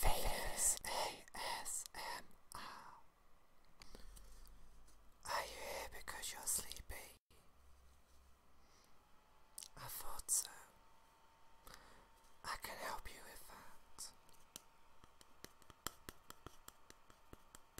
Faders Are you here because you're sleepy? I thought so. I can help you with that.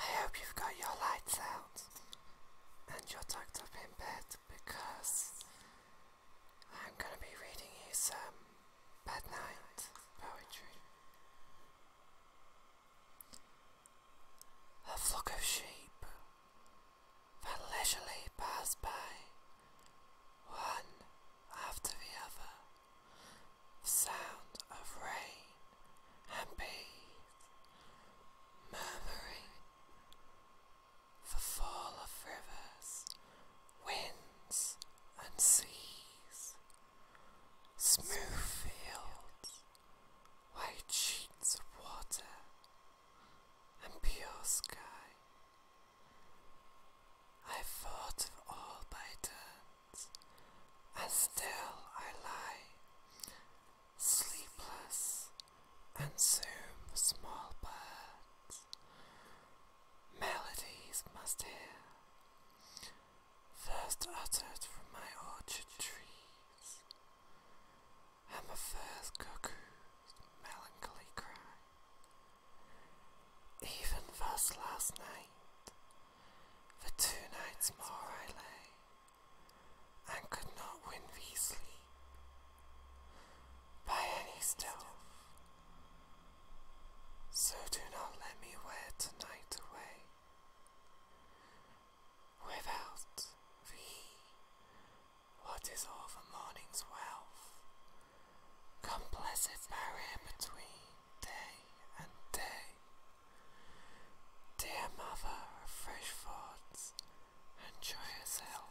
I hope you've got your lights out and you're tucked up in bed because I'm going to be reading you some Bad Night Poetry A flock of sheep that leisurely pass by, one after the other, the sound of rain and bees murmuring, the fall of rivers, wind and seas, smooth fields, white sheets of water, and pure sky. I thought of all by turns, as still I lie, sleepless, and soon the small birds melodies must hear, first uttered from my orchard trees, and the first cuckoo's melancholy cry. Even thus last night, for two nights more I lay, and could not win thee by any stealth so do not let me wear tonight away without thee. What is all the morning's wealth? Come blessed barrier between day and day. Dear mother of fresh thoughts, enjoy yourself.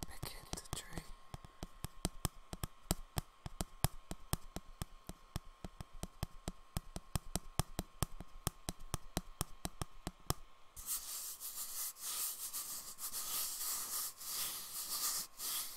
Begin to dream.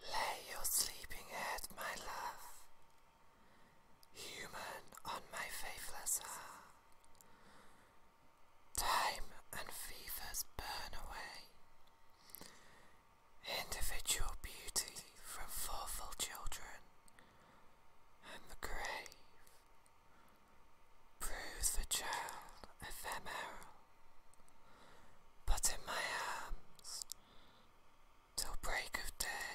Lay your sleeping head, my love, human on my faithless heart. Time and fevers burn away. Individual beauty from fourfold children and the grave. Prove the child ephemeral, but in my arms, till break of day,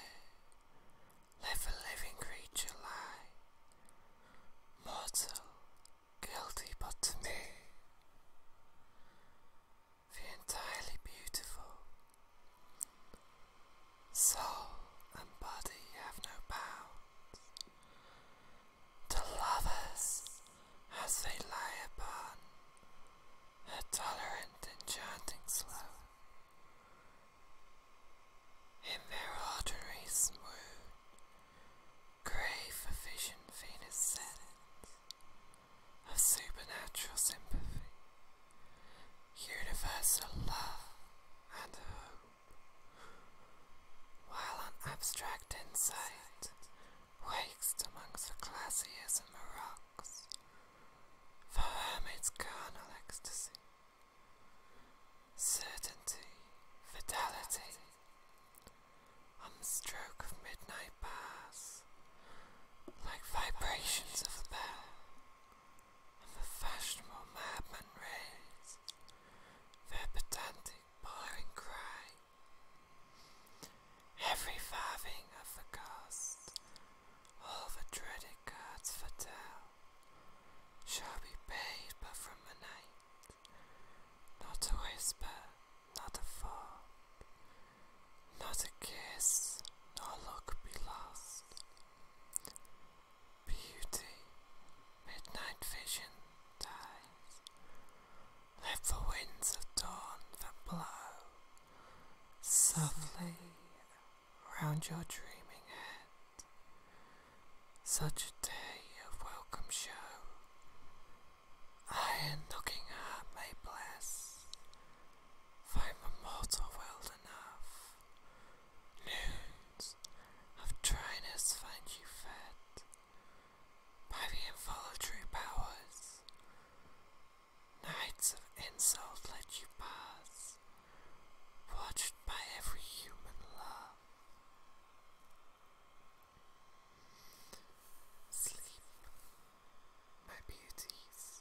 live a living creature lie, mortal, guilty but to me, the entirely beautiful. Soul and body have no bounds to lovers as they lie upon a tolerant, enchanting slow. In their ordinary smooth, grave vision Venus senate of supernatural sympathy, universal love and hope while an abstract insight wakes amongst the glaciers and the rocks for hermits carnal ecstasy, certainty, fidelity, on the stroke of midnight pass, like vibrations of a bell, and the fashionable madman raise their pedantic blaring cry. Every farthing of the cost, all the dreaded gods foretell, shall be paid but from the night, not a whisper, not a thought, not a kiss, nor look be lost beauty, midnight vision dies. Let the winds of dawn that blow softly round your dreaming head. Such a day of welcome show. I and looking heart may bless. Find the mortal world enough Noons of dryness find you fed by the involuntary powers. Nights of insult let you pass, watched by every human love. Sleep, my beauties,